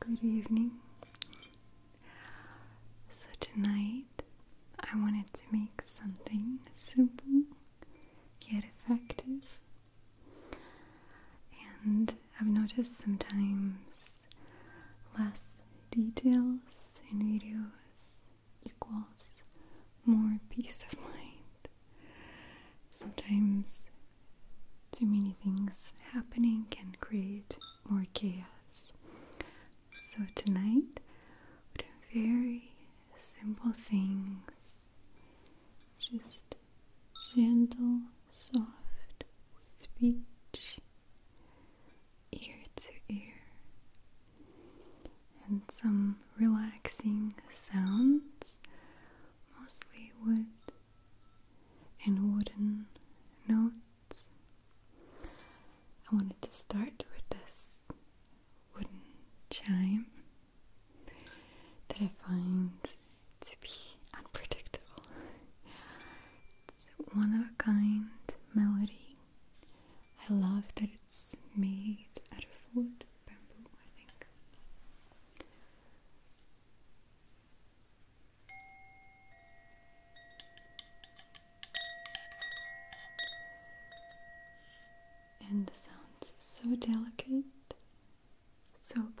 Good evening. So, tonight I wanted to make something simple yet effective and I've noticed sometimes less details in videos equals more peace of mind. Sometimes too many things happening can create more chaos. So tonight, we're doing very simple things. Just gentle, soft speech, ear to ear, and some relaxing sounds, mostly wood and wooden notes. I wanted to start with this wooden chime that I find to be unpredictable. it's one of a kind melody. I love that it's made out of wood, bamboo, I think. And the sounds so delicate so pleasant.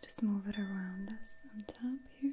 I'll just move it around us on top here.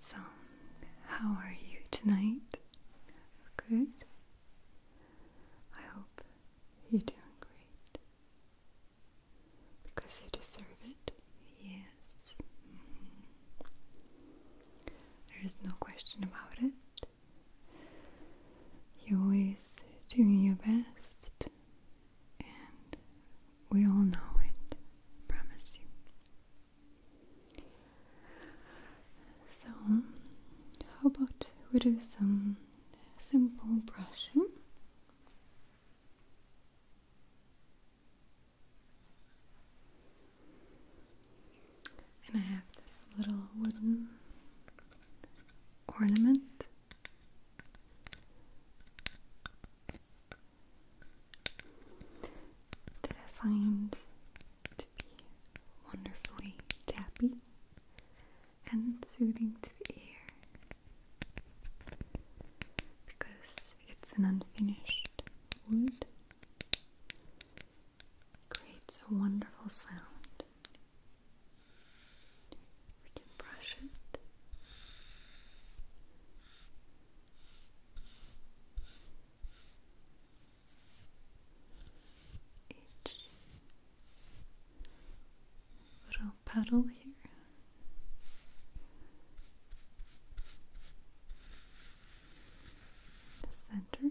So, how are you tonight? Good. I hope you're doing great. Because you deserve it. Yes. Mm-hmm. There is no question about it. you always do your best, and we all know it. Promise you. So, how about we do some simple brushing? And I have this little wooden ornament that I find to be wonderfully tappy and soothing to the ear because it's an unfinished wood creates a wonderful sound we can brush it each little petal here. The center.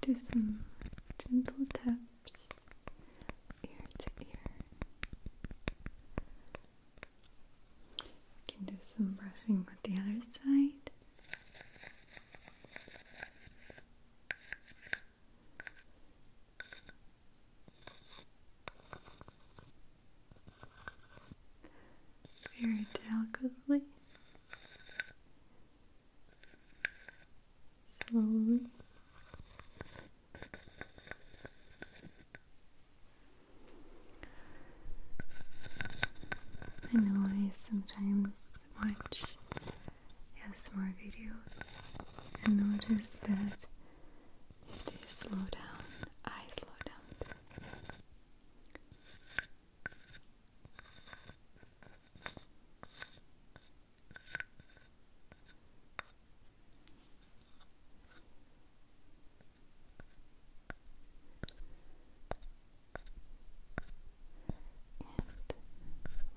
Do some gentle taps ear to ear. can do some brushing with the other side. Very delicately slowly. I know I sometimes watch ASMR videos and notice that if they down, I slow down. And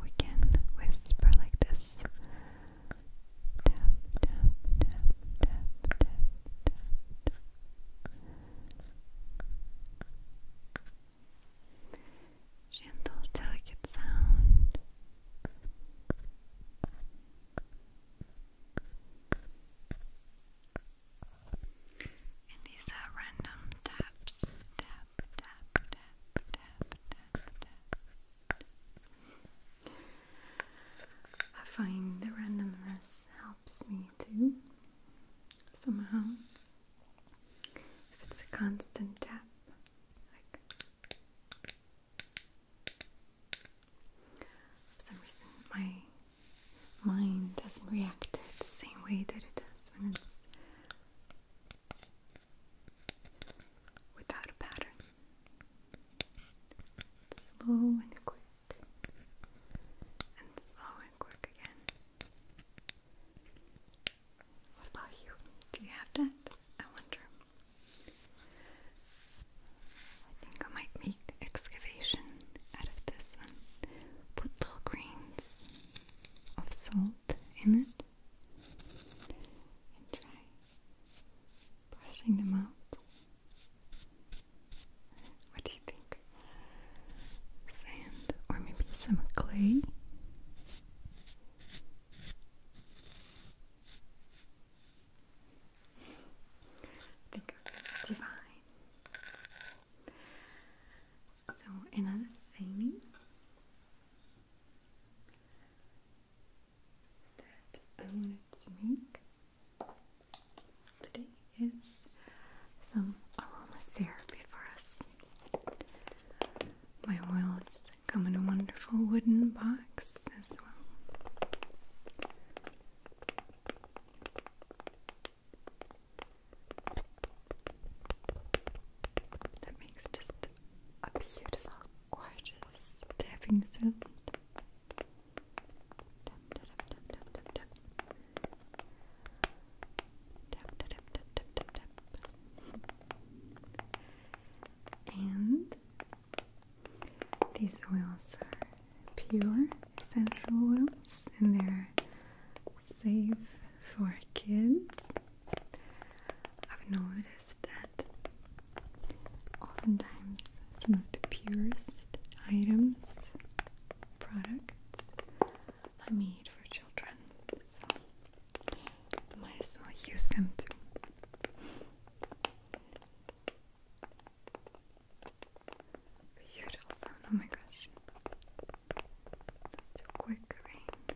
we can whisper like this gentle, delicate sound. And these random taps. Tap, tap, tap, tap, tap, tap. I find the randomness helps me too, somehow. If it's a constant tap, for some reason my mind doesn't react it the same way that it does when it's without a pattern. Slow and quick, and slow and quick again. What about you? Do you have that? I wonder. I think I might make excavation out of this one. Put little grains of salt in it and try brushing them out. What do you think? sand or maybe some clay. Think of divine. So another thing that I wanted to make today is some aromatherapy for us. My oils come in a wonderful wooden box as well. That makes just a beautiful, gorgeous tapping sound. And these oils are pure essential oils and they're safe for kids. I've noticed that oftentimes some of the purest items, products, I made for children, so might as well use them too. Beautiful sound, oh my gosh. That's too quick, right?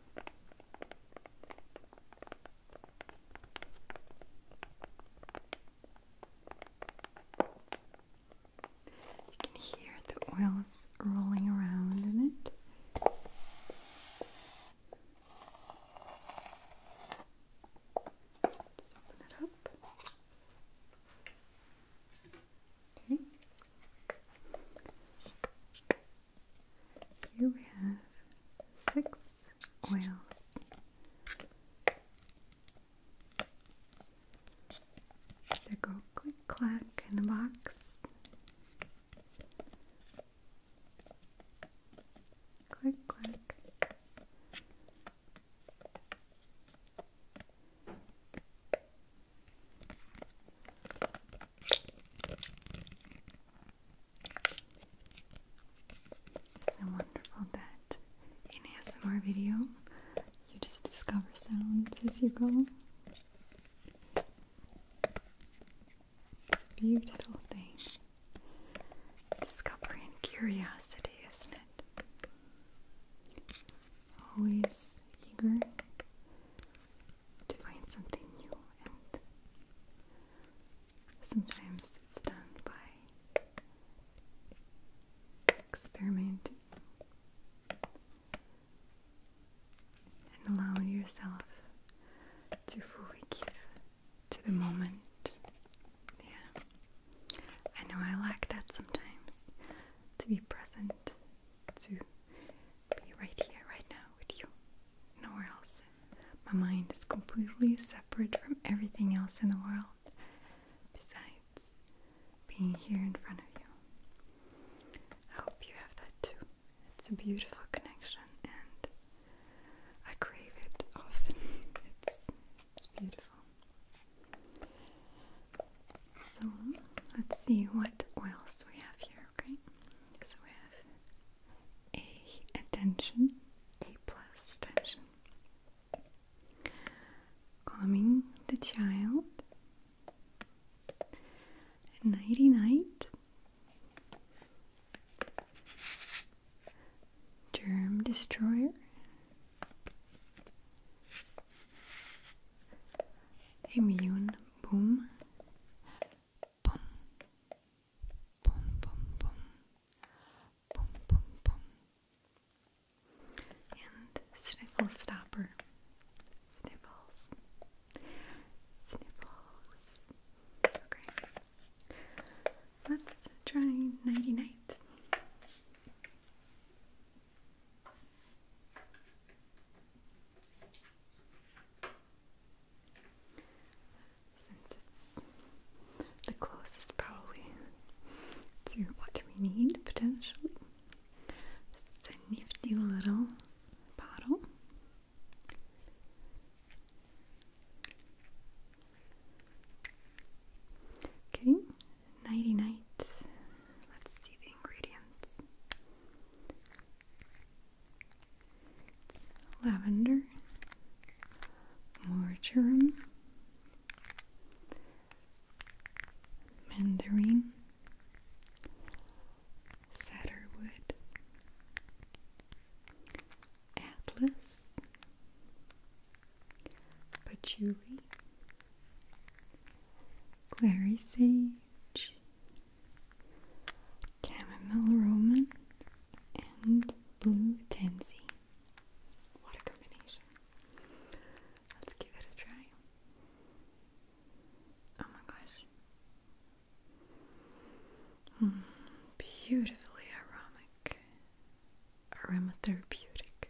You can hear the oils rolling around in it. Let's open it up. Okay. Here we have six oils. They go click clack in the box. Click click. Isn't wonderful that in ASMR video you just discover sounds as you go? It's a beautiful thing. Discovery curiosity, isn't it? Always eager to find something new, and sometimes it's done by experimenting and allowing yourself to fully give to the moment. Yeah, I know I lack that sometimes to be present to be right here, right now with you. Nowhere else. My mind is completely separate from everything else in the world besides being here in front of you. I hope you have that too. It's a beautiful connection and I crave it often. It's, beautiful. So let's see what oils we have here, okay? So we have A attention, A plus attention. Calming the child. Nighty night. Germ destroyer. Immune boom, boom, boom, boom, boom, boom, boom, boom, and sniffle stopper, sniffles, sniffles. Okay, let's try ninety since it's the closest probably to what we need potentially. This is a nifty little bottle. Okay, nighty night. Let's see the ingredients. Lavender, lavender, marjoram, mandarin, satterwood, atlas, patchouli, clary sage, Chamomile Roman and Blue Tansy. What a combination. Let's give it a try. Oh my gosh. Mm, beautifully aromatic. Aromatherapeutic.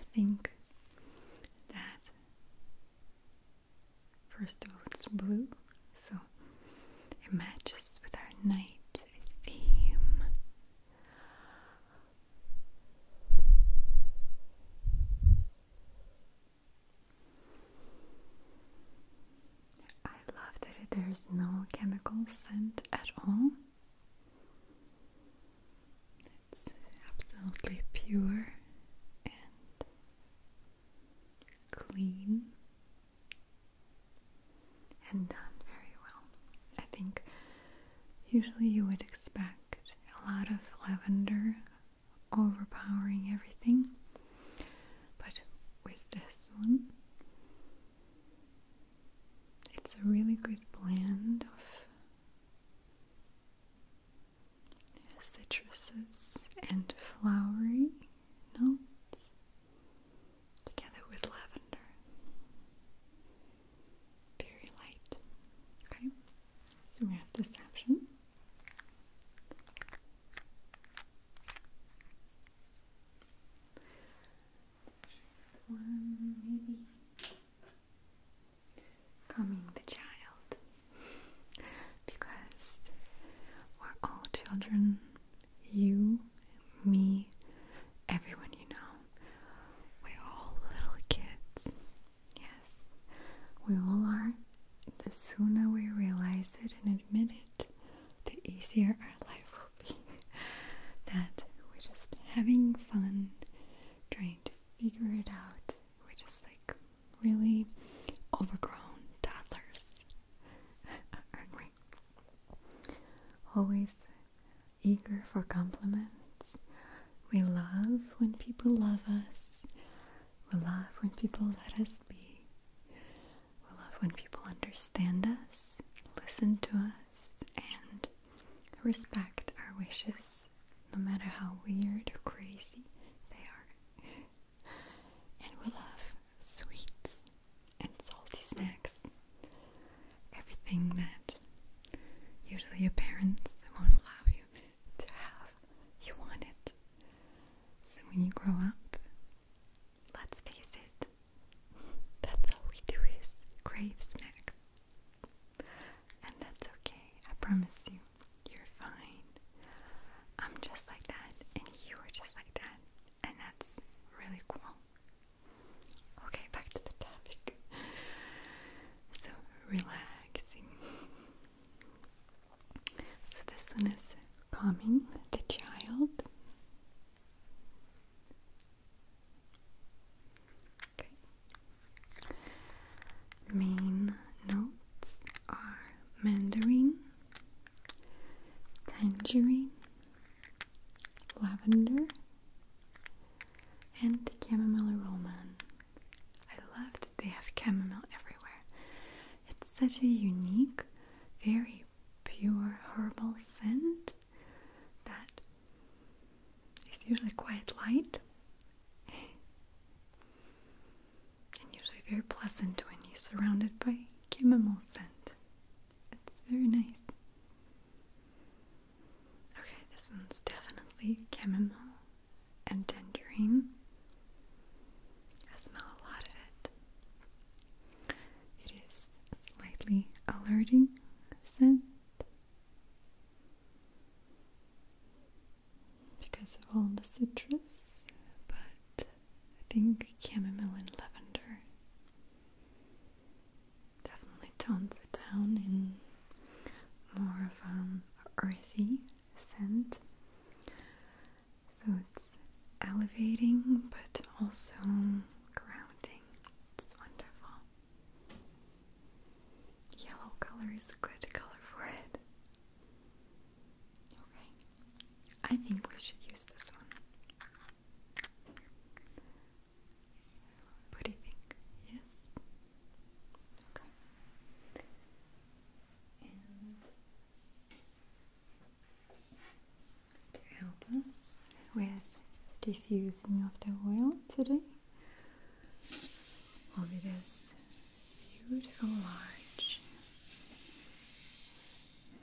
I think that First of all, it's blue, so it matches with our night theme. I love that there's no chemical scent at all. It's absolutely pure and clean and done very well. I think usually you would expect a lot of lavender overpowering everything, but with this one, it's a really good blend of citruses, and flowery notes together with lavender. Very light. Okay, so we have deception. One, maybe Coming the child. Because we're all children, you, me, everyone you know. We're all little kids. Yes, we all are. The sooner we realize it and admit it, the easier our life will be. that we're just having fun, trying to figure it out. We're just like really overgrown toddlers, Always eager for compliments. We love when people love us. We love when people let us be. We love when people understand us, listen to us, and respect our wishes no matter how weird or crazy they are. and we love sweets and salty snacks. Everything that usually your parents won't allow you to have, you want it. So when you grow up, let's face it, that's all we do is crave snacks. And that's okay, I promise you, you're fine. I'm just like that, and you are just like that, and that's really cool. Okay, back to the topic. So, relaxing. So, this one is calming the child. Okay. Main notes are mandarin, tangerine, lavender, and chamomile roman. I love that they have chamomile everywhere. It's such a unique, very pure herbal scent that is usually quite light and usually very pleasant when you're surrounded by chamomile scent. It's very nice. Okay, this one's definitely chamomile and dandelion. I smell a lot of it. It is slightly alerting scent because of all the citrus, but I think chamomile and lavender definitely tones it down in more of an um, earthy scent. So it's elevating but also grounding. It's wonderful. Yellow color is a good color for it. Okay, I think we should use this one. What do you think? Yes? Okay. And to help us with diffusing of the oil today, will this beautiful large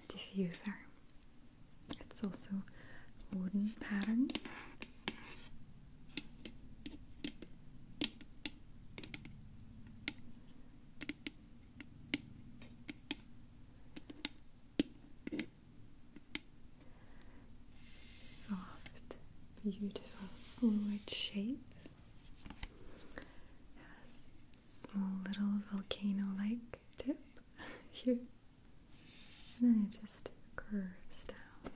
diffuser. It's also wooden pattern. Soft, beautiful fluid shape has a small little volcano-like tip here. And then it just curves down.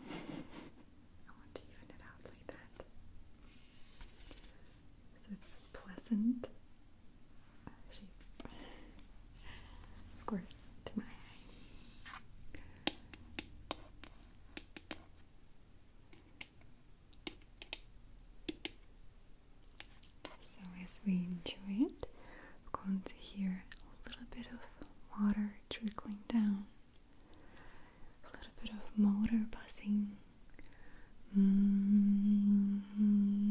I want to even it out like that. So it's pleasant shape. Of course, to my eye. So, as we enjoy it, we're going to hear a little bit of water trickling down, a little bit of motor buzzing. Mm-hmm. Mm-hmm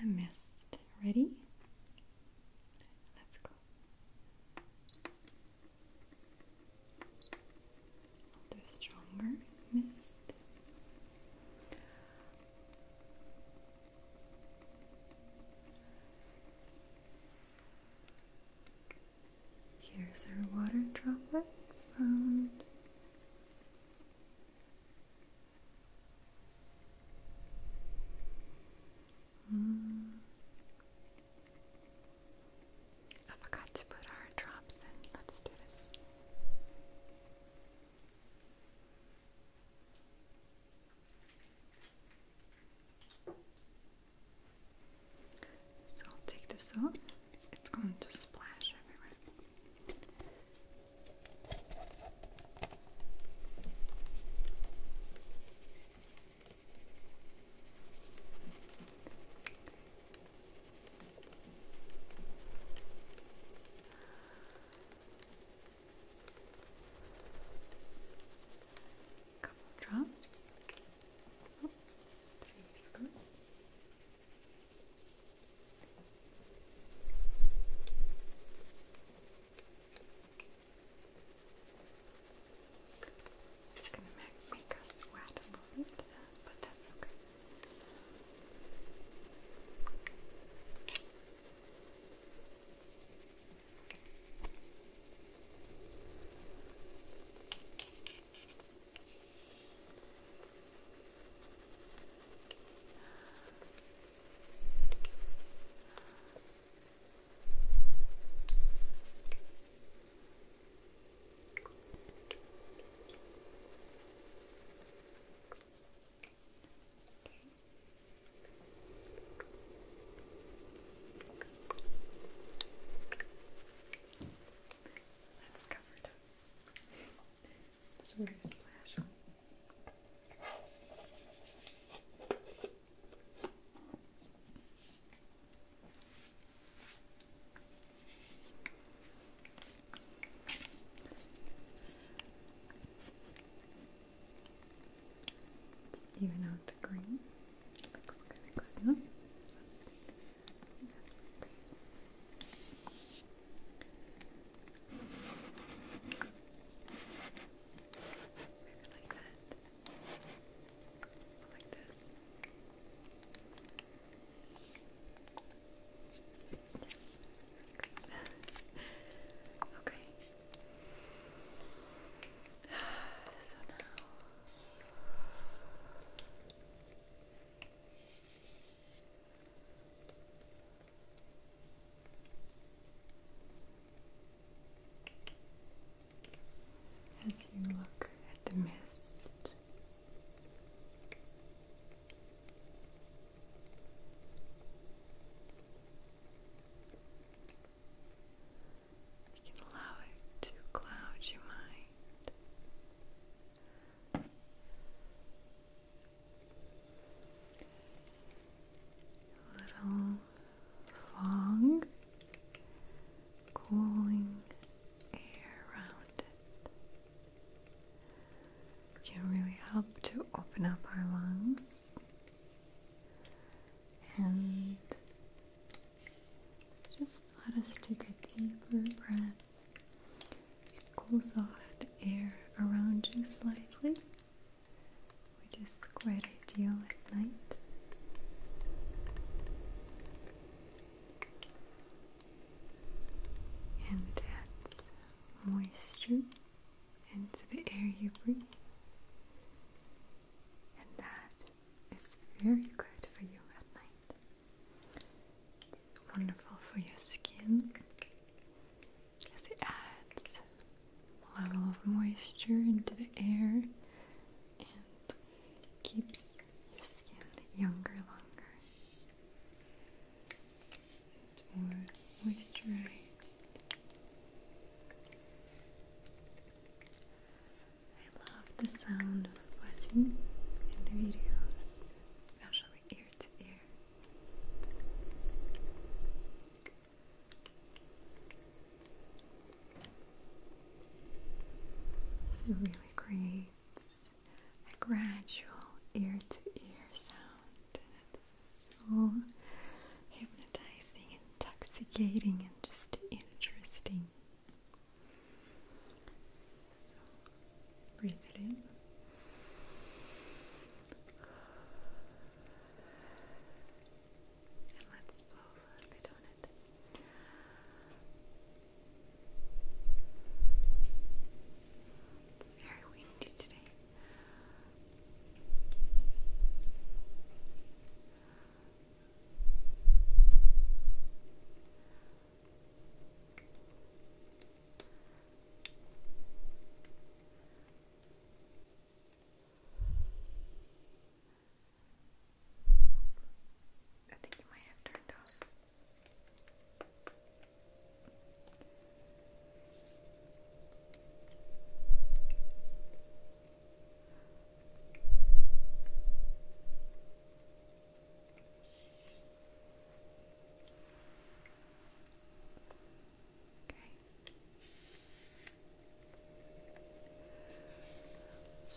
and the mist. Ready? Let's go. stronger mist. Here's our water droplets sound. I forgot to put our drops in. Let's do this. So I'll take this out. It's going to splash everywhere. Couple drops. Oh, there you it's gonna make, us sweat a little bit, but that's Okay. That's covered up. It's a very splash even out the green. Looks kind of good. Maybe like that. Like this. Yes. okay. So now. As you look at the mist, you can allow it to cloud your mind little fog, cooling air around it. Can really help to open up our lungs and just let us take a deeper breath cools off the air around you slightly, which is quite ideal at night. And it adds moisture into the air you breathe. And that is very good for you at night. It's wonderful for your skin it adds a level of moisture into the air and keeps your skin younger longer. It's more moisturized. I love the sound of buzzing in the videos, especially it really creates a gradual ear to ear sound. It's so hypnotizing, intoxicating, and just interesting. Breathe it in. let's blow a little It's very windy today. I think you might have turned off. Okay.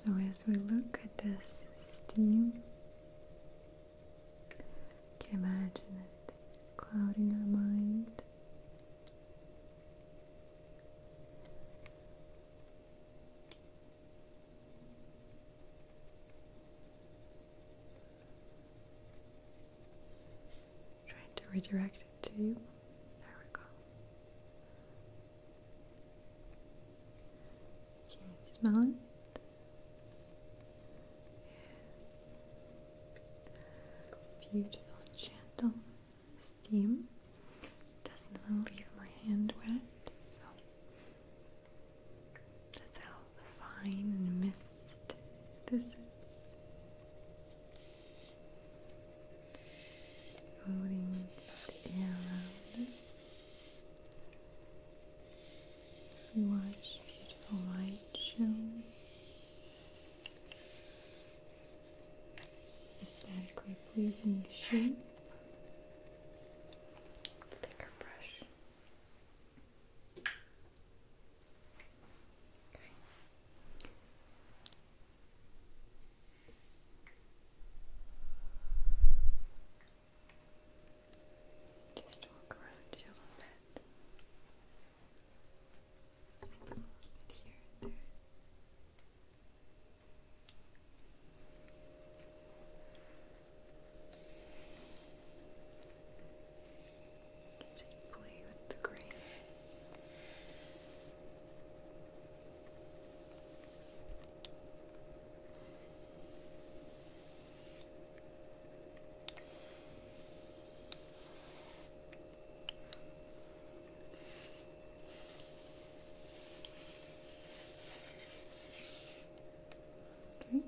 So, as we look at this steam, you imagine it clouding our mind. Trying to redirect it to you. There we go. Can you smell it? Yes. Beautiful, gentle steam. Doesn't even leave my hand wet, so how fine and mist this is. Smoothing the around us. Just beautiful light show. Aesthetically pleasing shape. let brush. Okay. Just walk around you a little bit. Just a here and there. Just play with the grains. Okay. Hmm?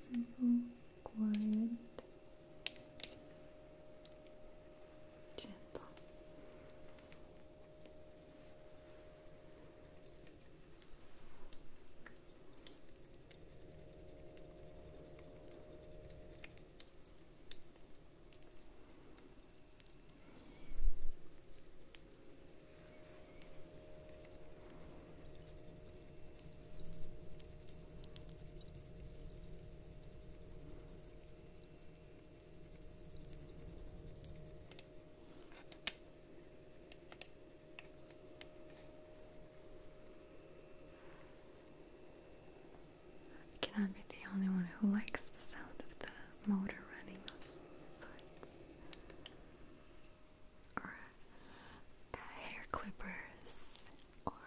simple, quiet, gentle. I cannot be the only one who likes the sound of the motor running those or hair clippers or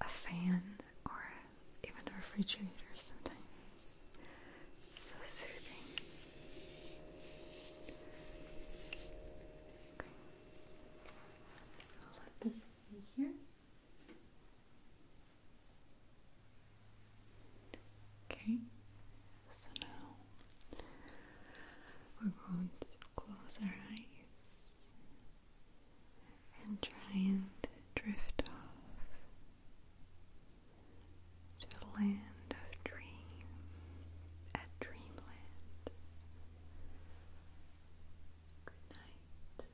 a fan or even a refrigerator sometimes. So soothing. So let this be here. Okay, so now we're going to close our eyes and try and drift off to a land of dream, a dreamland. Good night.